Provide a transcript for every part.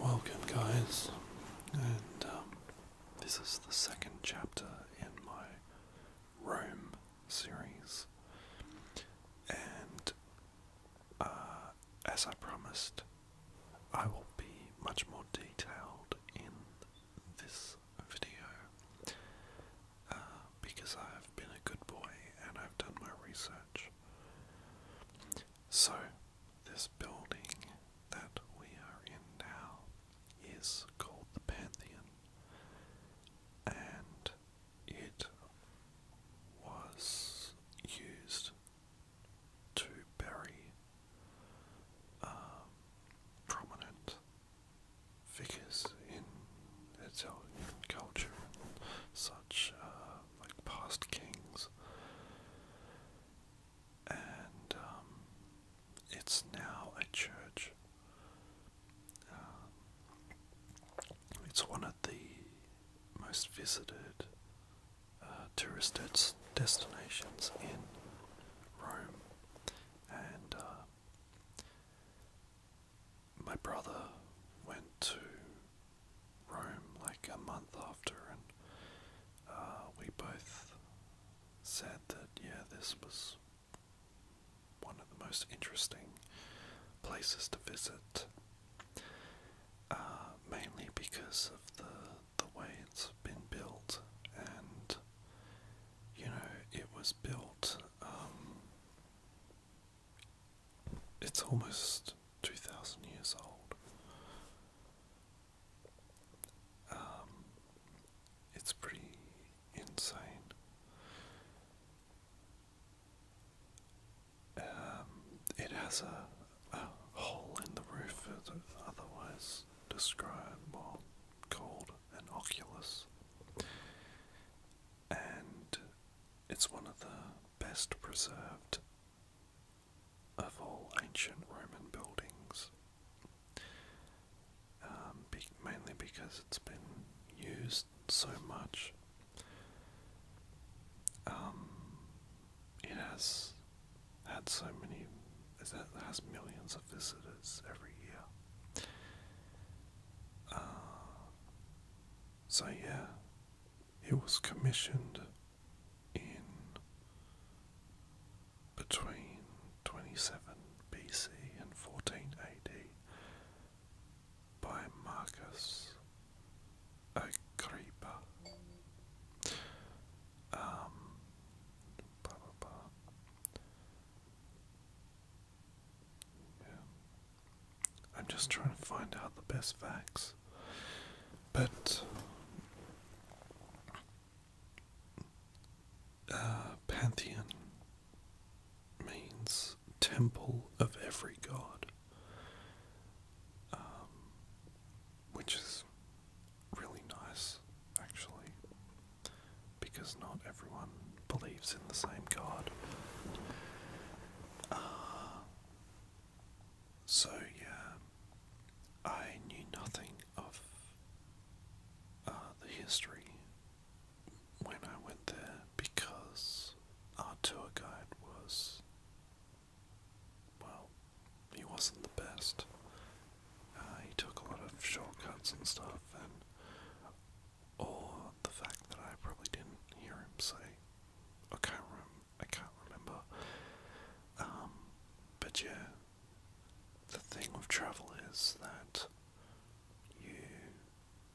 Welcome, guys, and um, this is the second chapter in my Rome series. And uh, as I promised, I will be much more detailed in this video uh, because I've been a good boy and I've done my research. So, this building that we are in now is called the Pantheon, and it was used to bury um, prominent figures in its own culture, such uh, like past kings. And um, it's now a church. Um, it's one of the most visited uh, tourist destinations in Rome. And uh, my brother went to Rome like a month after, and uh, we both said that, yeah, this was one of the most interesting places to visit, uh, mainly because of the, the way it's been built, and you know, it was built um, it's almost 2,000 years old. Um, it's pretty insane. Um, it has a, hole in the roof, otherwise describable, called an oculus. And it's one of the best preserved of all ancient Roman buildings, um, mainly because it's been used so much. Um, it has had so many, it has millions of visitors every year. Uh, so, yeah, it was commissioned in between 27 BC and 14 AD by Marcus Agrippa. Um, I'm just trying to find out the best facts. But uh, Pantheon means temple of every god, um, which is really nice, actually because not everyone believes in the same God. Ah. so, yeah, I knew nothing of uh, the history when I went there because our tour guide was, well, he wasn't the best. Uh, he took a lot of shortcuts and stuff, and or oh, the fact that I probably didn't hear him say, I can't, rem I can't remember. Um, but yeah, the thing with travel is that you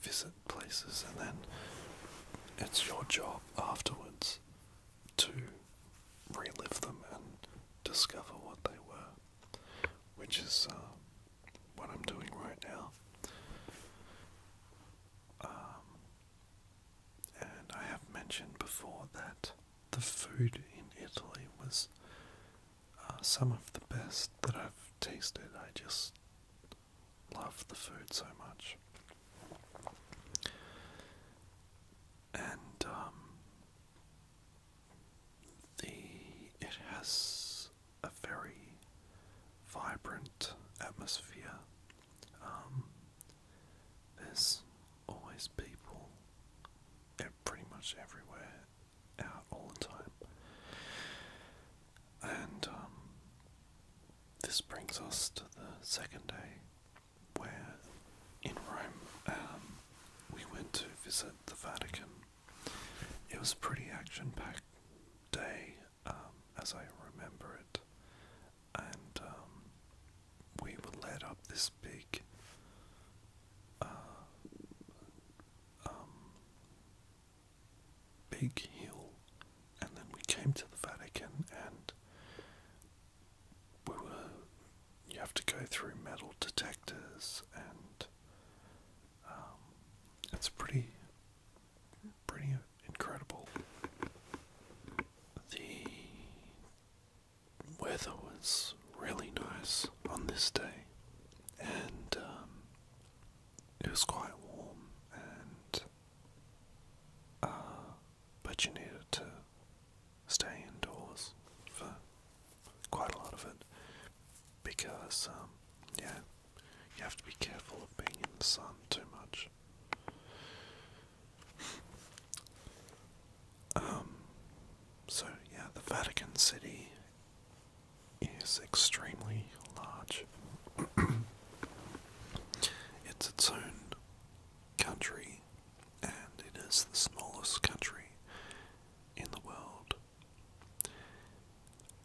visit places and then it's your job afterwards to relive them and discover what they were which is uh, what I'm doing right now. Um, and I have mentioned before that the food in Italy was uh, some of the best that I've tasted. I just love the food so much. And um, the it has a very vibrant atmosphere. Um, there's always people pretty much everywhere out all the time. And um, this brings us to the second day where in Rome um, we went to visit the Vatican. It was a pretty action packed day, um, as I remember it, and um, we were led up this big uh, um, big hill, and then we came to the Vatican and we were you have to go through metal detectors, and um, it's pretty, pretty incredible. The weather was really nice on this day, and um, it was quite warm, and uh, but you needed to stay indoors for quite a lot of it, because um, yeah, you have to be careful of being in the sun too much. Um, so yeah, the Vatican City is extremely large. it's its own country and it is the smallest country in the world.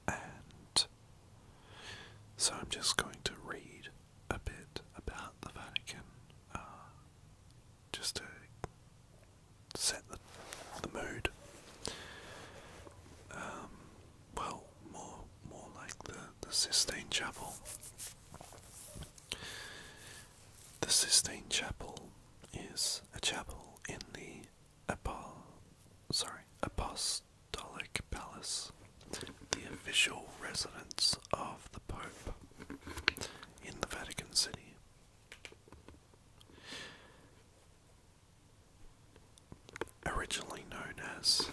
And so I'm just going to read a bit about the Vatican uh, just to set the, mood. Um, well, more more like the, the Sistine Chapel. The Sistine Chapel is a chapel in the Apostolic Palace, the official residence of the Pope in the Vatican City. Originally known as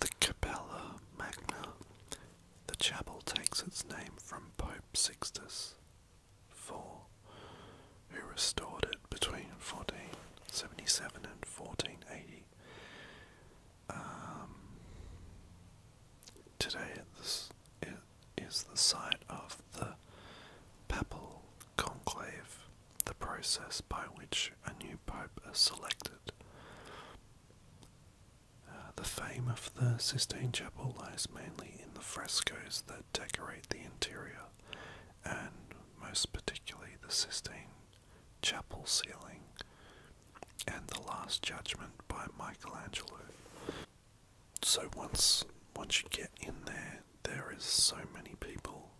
the Capella Magna, the chapel takes its name from Pope Sixtus IV, who restored it between 1477 and 1480. Um, today it is the site of the Papal Conclave, the process by which a new pope is selected. Uh, the fame of the Sistine Chapel lies mainly in the frescoes that decorate the interior, and most particularly the Sistine Chapel ceiling and the Last Judgment by Michelangelo. So once once you get in there, there is so many people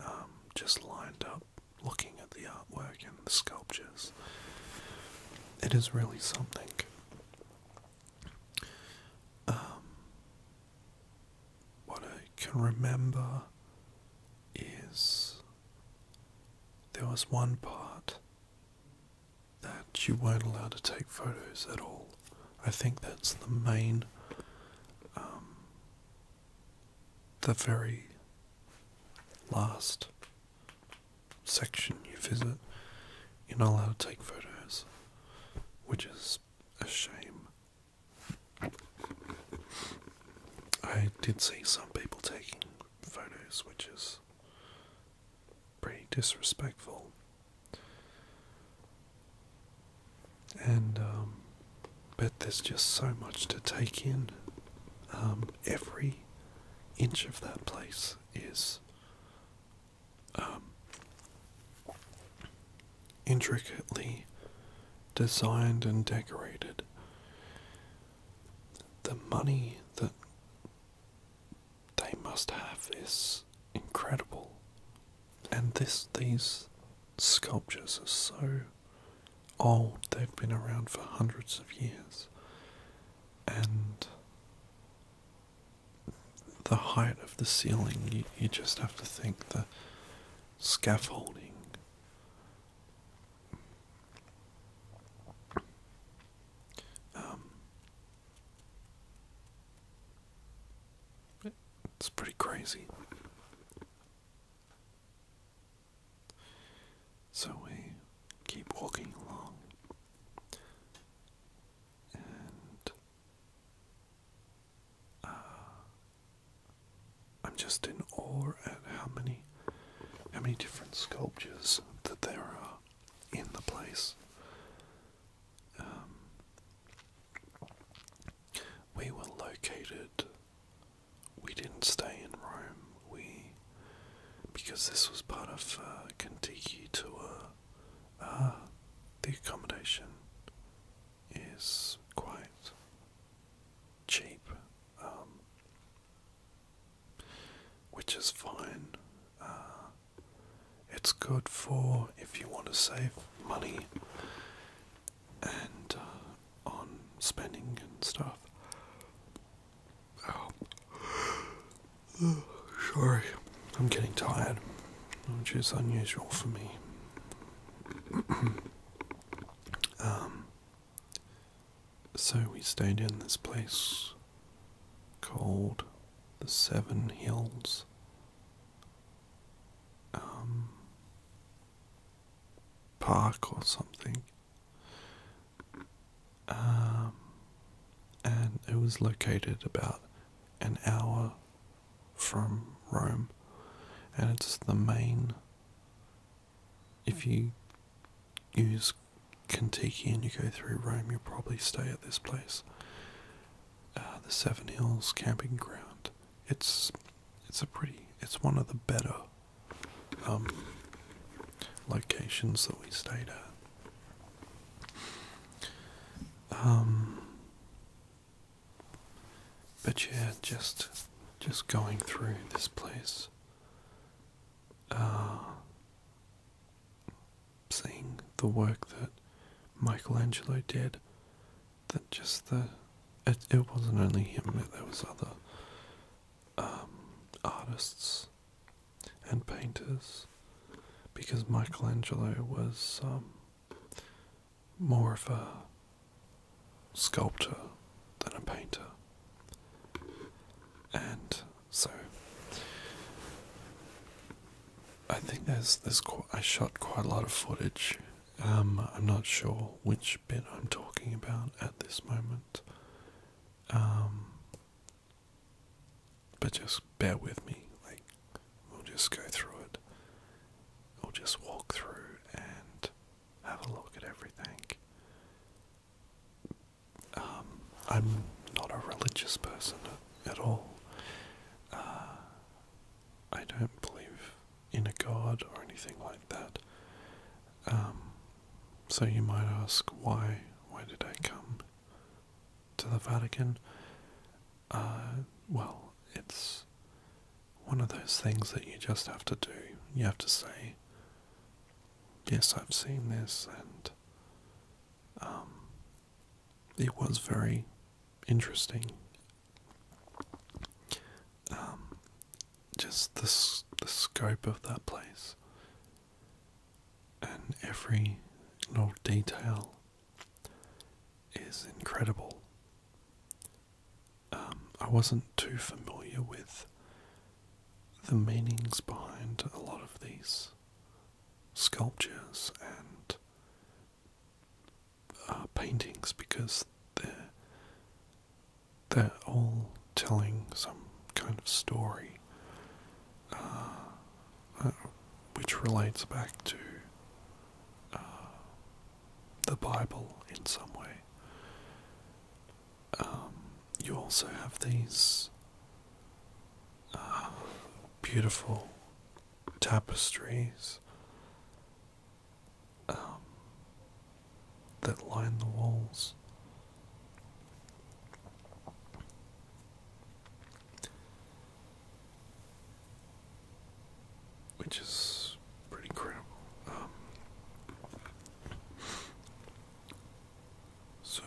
um, just lined up looking at the artwork and the sculptures. It is really something. Um, what I can remember is there was one part that you weren't allowed to take photos at all. I think that's the main um, the very last section you visit, you're not allowed to take photos, which is a shame. I did see some people taking photos, which is pretty disrespectful. And um, but there's just so much to take in. Um, every inch of that place is um, intricately designed and decorated. The money that they must have is incredible. And this these sculptures are so old, they've been around for hundreds of years. And the height of the ceiling, you, just have to think the scaffolding. Um, it's pretty crazy. So we keep walking along, and uh, I'm just in awe at how many, how many different sculptures that there are in the place. Um, we were located we didn't stay in Rome. We because this was part of a uh, Kentucky tour. Uh, the accommodation is quite cheap, um, which is fine. Uh, it's good for if you want to save money and uh, on spending and stuff. oh, sorry, I'm getting tired, which is unusual for me. um, so we stayed in this place called the Seven Hills um, park or something. Um, and it was located about an hour from Rome, and it's the main. If you use Kentucky and you go through Rome, you'll probably stay at this place. Uh, the Seven Hills Camping Ground it's it's a pretty it's one of the better um, locations that we stayed at. Um, but yeah, just just going through this place, uh, seeing the work that Michelangelo did that just the it, wasn't only him there was other um, artists and painters because Michelangelo was um, more of a sculptor than a painter and so I think there's there's quite, I shot quite a lot of footage. Um, I'm not sure which bit I'm talking about at this moment. Um, but just bear with me. Like we'll just go through it. We'll just walk through and have a look at everything. Um, I'm not a religious person at all. Uh, I don't believe in a god or anything like that. Um, so you might ask why? Why did I come to the Vatican? Uh, well, it's one of those things that you just have to do. You have to say, yes, I've seen this, and um, it was very interesting. Um, just this the scope of that place and every little detail is incredible. Um, I wasn't too familiar with the meanings behind a lot of these sculptures and uh, paintings because they're they're all telling some kind of story, uh, uh, which relates back to the Bible in some way. Um, you also have these beautiful tapestries um, that line the walls. Which is pretty incredible. Um, so